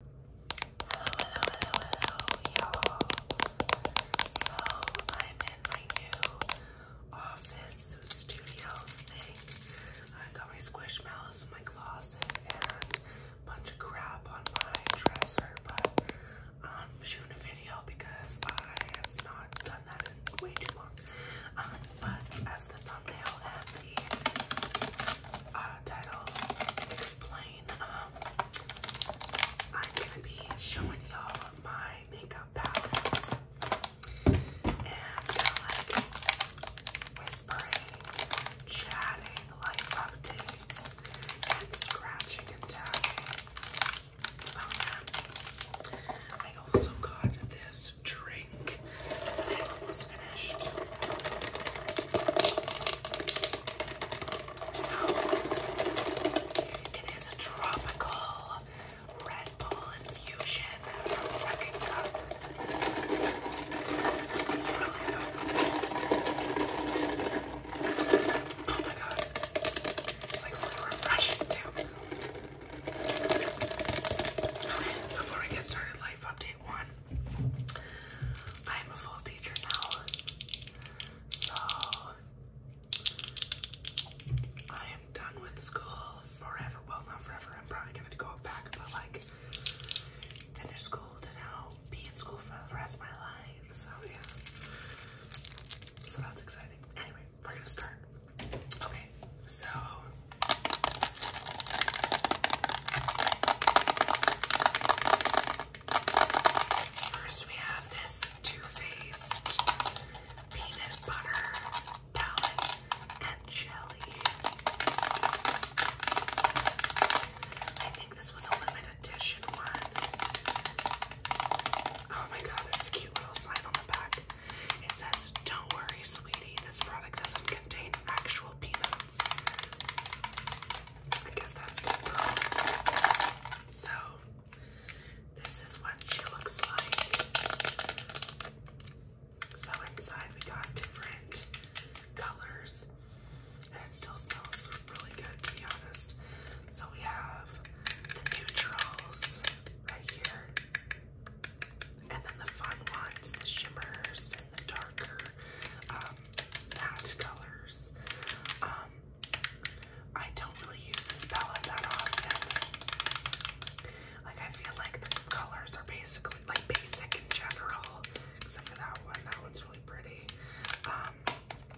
Hello, hello, hello, y'all. So, I'm in my new office studio thing. I got my squishmallows in my closet and a bunch of crap on my dresser, but I'm shooting a video because I have not done that in way too long. but as the thumbnail and the uh, title explain, um, I'm gonna be showing y'all my makeup palette. and uh, kinda whispering, chatting, life updates, and scratching and tapping I also got this drink is finished. So, it is a tropical Red Bull infusion Oh my god. It's like really refreshing too. before we get started, life update. I am a full teacher now, so I am done with school forever. Well, not forever. I'm probably gonna go back, but like finish school to now be in school for the rest of my life. So yeah, so that's exciting. Anyway, we're gonna start. Okay, so First, we have this Too Faced peanut butter palette and jelly. I think this was a limited edition one. Oh my god, there's a cute little sign on the back. It says, Don't worry, sweetie, this product doesn't go contain actual peanuts. So, this is what she looks like. So, inside we got different colors, it still smells really good to be honest. So, we have the neutrals right here, and then the fun ones, the shimmers, darker um, matte colors. Um, I don't really use this palette that often. Like I feel like the colors are basically like basic in general, except for that one. That one's really pretty. Um,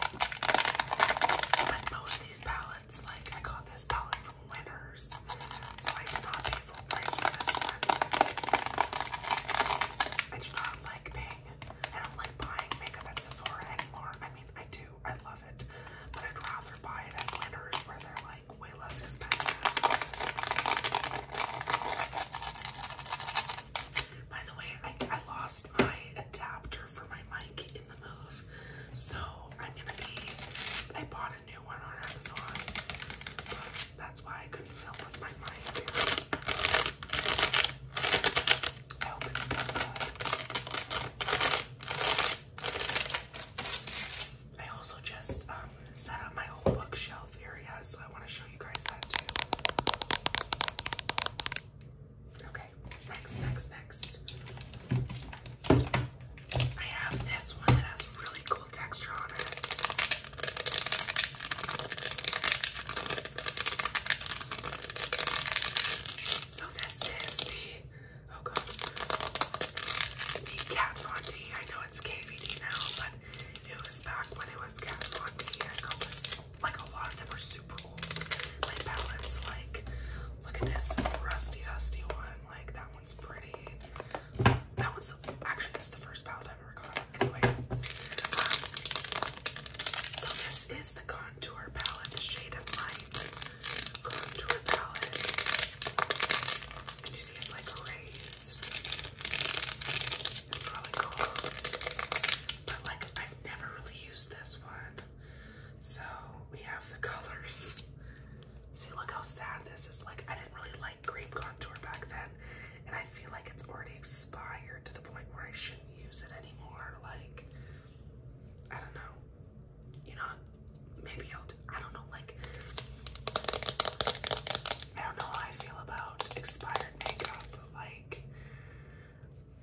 but most these palettes, like I got this palette from Winners, so I did not I do not like paying. I don't like buying makeup at Sephora anymore. I mean, I do. I love it. But I'd rather buy it at Winners where they're like way less expensive. By the way, I, lost my adapter for my mic in the move. So I'm gonna be. I bought it. That's why I couldn't film with my mic. I also just um, set up my whole bookshelf area, so I want to show you guys that too. Okay, next, next, next. I have this one that has really cool texture on it. So this is the oh god the know it's KVD now, but it was back when it was Kat Von D. I go with like a lot of them are super old. My palettes like look at this rusty dusty one. Like that one. That was actually this the first palette I've ever got. Anyway, um, so this is the contour palette, the shade and light contour palette. And you see it's like raised. It's really cool. But like I've never really used this one. So we have the colors. See, look how sad this is. Like, I didn't really grape contour back then, and I feel like it's already expired to the point where I shouldn't use it anymore. Like, I don't know. You know, maybe I'll. I don't know. Like, I don't know how I feel about expired makeup. Like,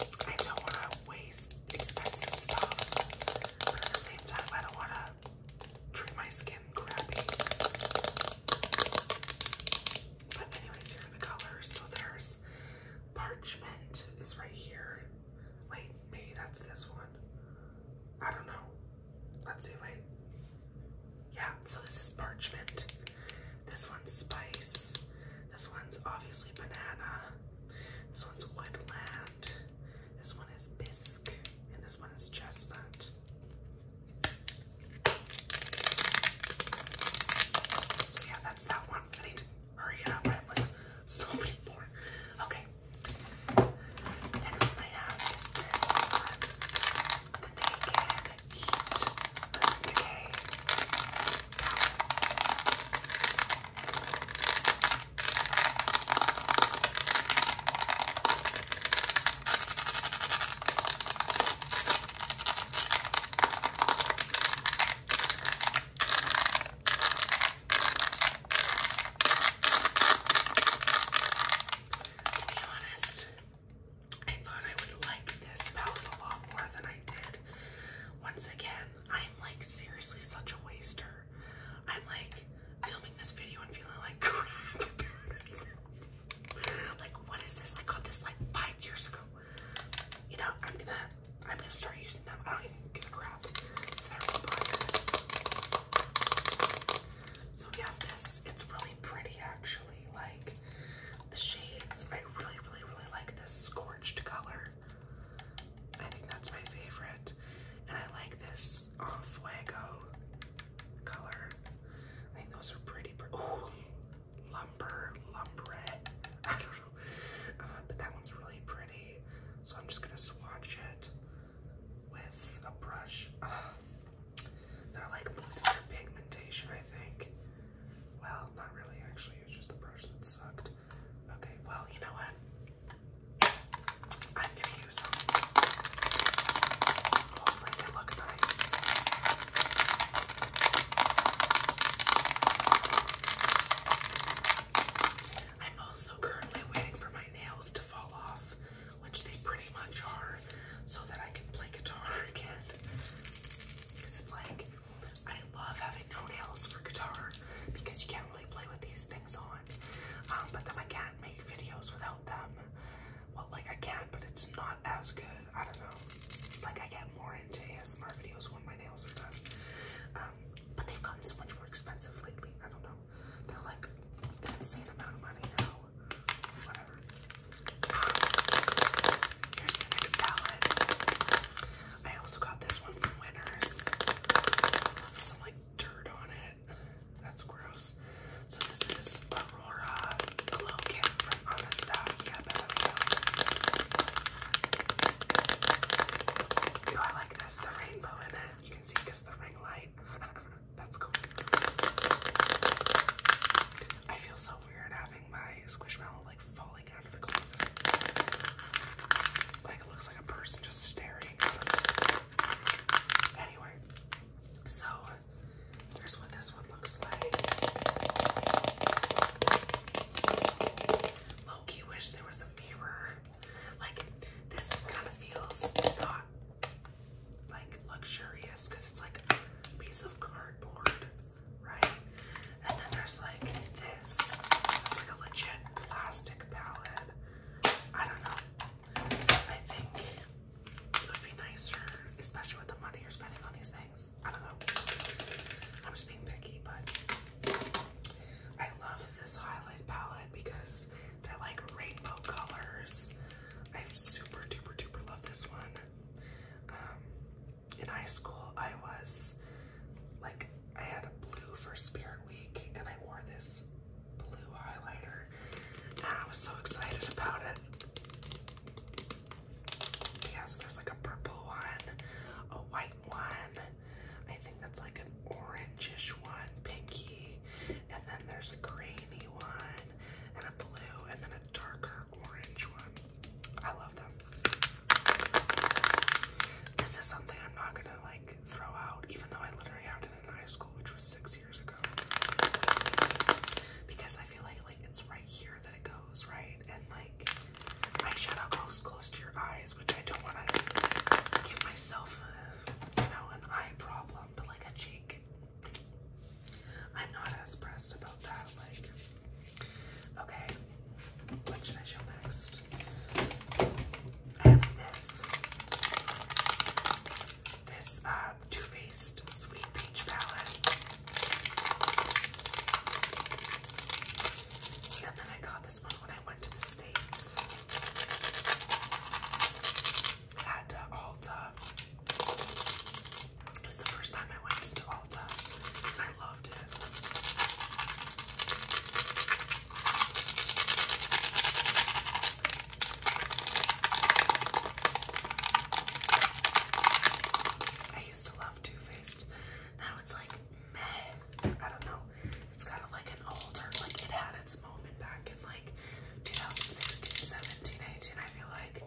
I don't want to waste expensive stuff, at the same time, I don't want to treat my skin crappy. But anyways, here are the colors. So there's parchment is right here. Wait, maybe that's this one. I don't know. Let's see, wait. Yeah, so this is parchment. This one's spice. This one's obviously banana. This one's woodland. This one is bisque. And this one is chestnut. So yeah, that's that one. I need to hurry it up. I have like so many more. Okay. Next one I have is this one. The Naked Heat Decay Palette. To be honest, I thought I would like this palette a lot more than I did. Once again, I'm like seriously such a waster. I'm like filming this video and feeling like crap. like what is this? I got this like five years ago. You know, I'm gonna I'm gonna start using them. I don't even give a crap So we have this. It's really pretty actually. Like the shades. I really, really, really like this scorched color. I think that's my favorite. And I like this on um, fuego color. I think those are pretty. oh, lumber, lumbre. Uh, but that one's really pretty. So I'm just gonna swatch it with a brush. they're like losing their pigmentation, I think. Well, not really. Actually, it was just the brush that sucked. Okay, well, you know what? I'm gonna use them. Hopefully they look nice. I'm also currently waiting for my nails to fall off, which they pretty much are, so that I can play guitar again. Because it's like, I love having no nails for guitar because you can't really play with these things on. Um, but then again, make videos without them. Well, like I can, but it's not as good. I don't know. Like I get more into ASMR videos when my nails are done. Um, but they've gotten so much more expensive lately. I don't know. They're like an insane amount of money now. Whatever. here's the next palette. I also got this one from Winners. Some like dirt on it. That's gross. So this is Aurora Glow Kit from Anastasia Beverly Hills. Do I like this? The rainbow in it. You can see because the ring light. That's cool. I feel so weird having my squishmallow like falling out of the closet. Like it looks like a person just staring. Anyway, so here's what this one looks like. Loki wish there was a mirror. Like this kind of feels not like luxurious because it's like a piece of cardboard, right? And then there's like this. like a legit plastic palette. I don't know. I think it would be nicer, especially with the money you're spending on these things. I don't know. I'm just being picky, but I love this highlight palette because they're like rainbow colors. I super duper duper love this one. Um, in high school, I was like, I had a blue for Spirit Week, and I wore this blue highlighter, I was so excited about it. Yeah, there's like a purple one, a white one, I think that's like an orangish one, pinky, and then there's a grainy one, and a blue, and then a darker orange one. I love them. This is something I'm not gonna like throw out, even though I literally had it in high school, which was six years ago. Because I feel like like it's right here that it goes, right? And like eyeshadow goes close to your eyes, which I don't want to give myself, you know, an eye problem, but like a cheek. I'm not as pressed about that. Like, okay, what should I show next? have this. This uh, Too Faced Sweet Peach Palette. And then I got this one when I went to the States. At uh, Ulta. It was the first time I went to Ulta. I loved it. I used to love Too Faced. Now it's like meh. I don't know. It's kind of like an older, like it had its moment back in like 2016, 17, 18, I feel like.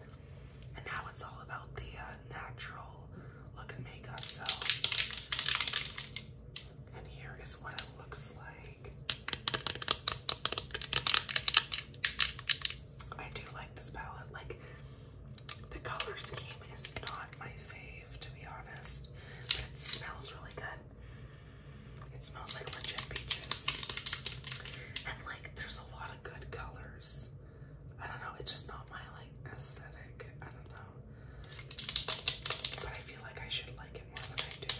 And now it's all about the uh, natural look and makeup. So and here is what it looks like. I do like this palette. Like, the color scheme is not my fave, to be honest. But it smells really good. It smells like legit peaches. And, like, there's a lot of good colors. I don't know, it's just not my, like, aesthetic. I don't know. But I feel like I should like it more than I do.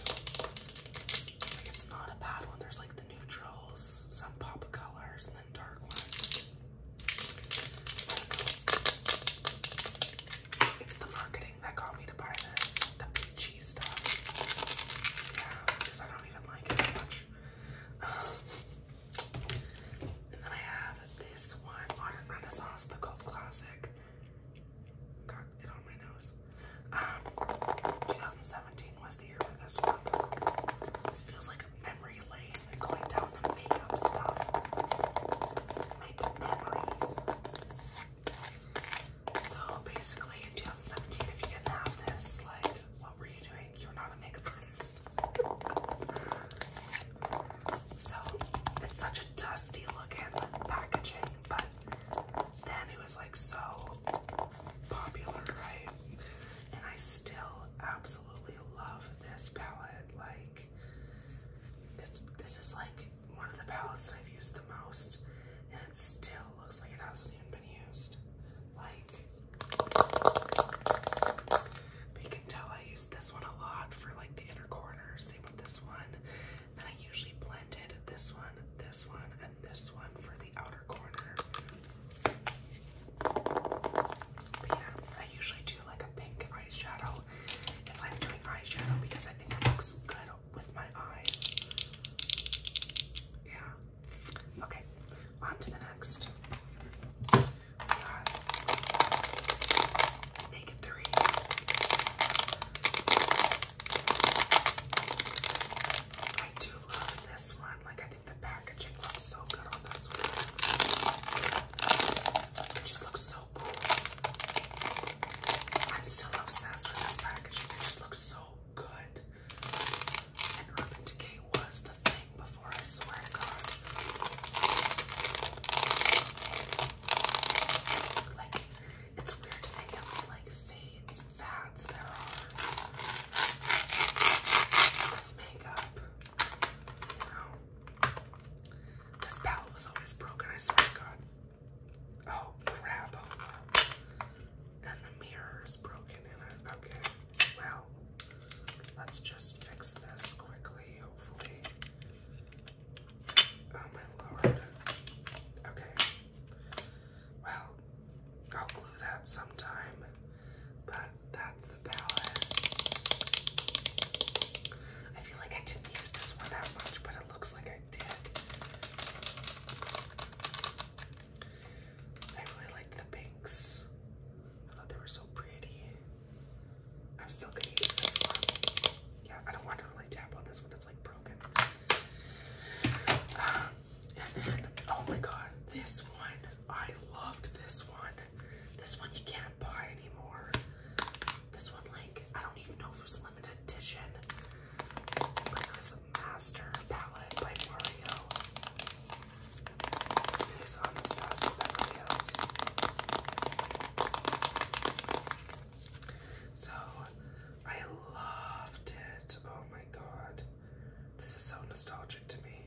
it's not a bad one. There's like the neutrals, some pop colors, and then dark ones. It's the marketing that got me to buy this. The peachy stuff. Yeah, because I don't even like it much. and then I have this one, Modern Renaissance, the Cult Classic. Um, 2017 was the year for this one. This feels like a memory lane, like going down the makeup stuff, making memories. So basically, in 2017, if you didn't have this, like, what were you doing? You're not a makeup artist. So it's such a dusty looking packaging, but then it was like so popular, right? And I still absolutely love this palette. Like, this is like one of the palettes that I've used the most, and it still looks like it hasn't even been used. Like, you can tell I use this one a lot for like the inner corner. Same with this one. Then I usually blended this one, this one, and this one for the outer corner. yeah, I usually do like a pink eyeshadow if I'm doing eyeshadow because I think it looks good with my eyes. Yeah. Okay, on to the next make it three. I do love this one. Like I think the packaging looks so good on this one. It just looks so cool. I'm still obsessed with this packaging. It just looks so good. And Urban Decay was the thing before, I swear to like, it's weird to think how like fades fads there are makeup. You know, this palette was always broken. I swear to God. Oh crap! And the mirror is broken in it. Okay, well, let's just fix this quickly. Hopefully, Oh, okay. Well, I'll glue that sometime, but that's the palette. I feel like I didn't use this one that much, but it looks like I did. I really liked the pinks. I thought they were so pretty. I'm still gonna use this one. Uh, oh my god, this one. I loved this one. This one you can't buy anymore. This one, like, I don't even know if it's limited edition. Master Palette by Mario. It is Anastasia Beverly Hills. So, I loved it. Oh my god. This is so nostalgic to me.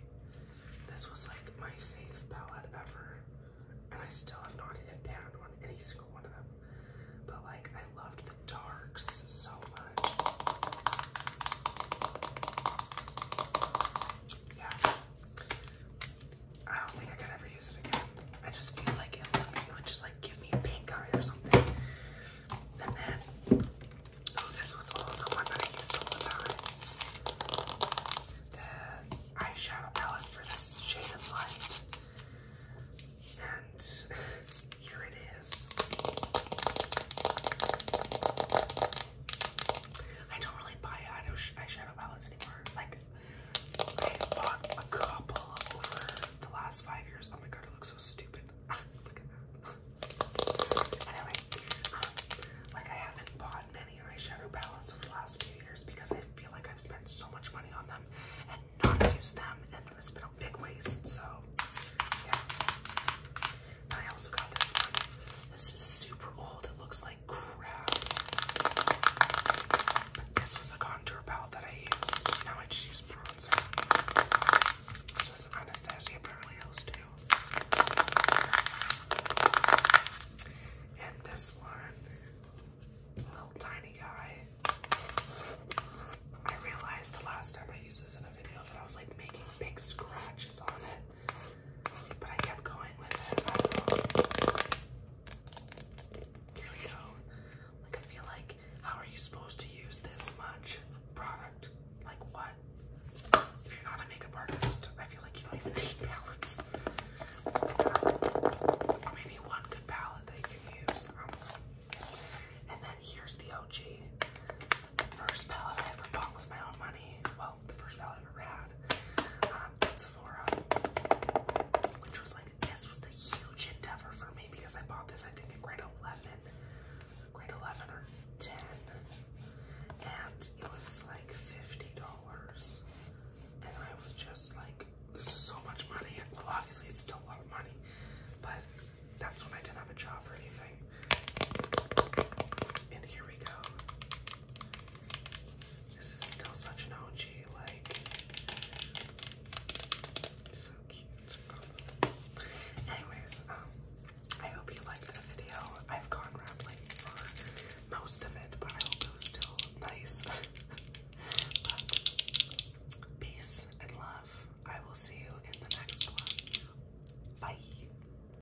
This was like my favorite palette ever. And I still have not hit pan on any single one of them. But like, I loved the darks so much. Yeah. I don't think I could ever use it again. I just feel like if would, would just like give me a pink eye or something. And then, oh, this was also one that I used all the time. The eyeshadow palette for this shade of light. And here it is. I don't really buy eyeshadow palettes anymore. Like, I bought a couple over the last five years. Oh my god, it looks so stupid. Look at that. anyway, um, like I haven't bought many eyeshadow palettes over the last few years because I feel like I've spent so much money on them and not used them, and it's been a big waste. So, yeah. I also got this This is super old. It looks like crap. this was the contour palette that I used. Now I just use bronzer. This was Anastasia Beverly Hills too. And this one, little tiny guy. I realized the last time I used this in a video that I was like making big scratches on it. But I kept going with it. Here we go. Like, I feel like, how are you supposed to use this much product? Like, what? If you're not a makeup artist, I feel like you don't even need palettes. maybe one good palette that you can use. Um, and then here's the OG. The first palette I ever bought with my own money. Well, the first palette i um, Sephora, which was like this was the huge endeavor for me because I bought this I think in grade eleven, grade eleven or ten, and it was like fifty dollars, and I was just like, this is so much money. Well, obviously it's still a lot of money, but that's when I didn't have a job or anything. And here we go. This is still such an OG, like so cute. Anyways, um, I hope you liked the video. I've gone rambling for most of it, but I hope it was still nice. peace and love. I will see you in the next one. Bye.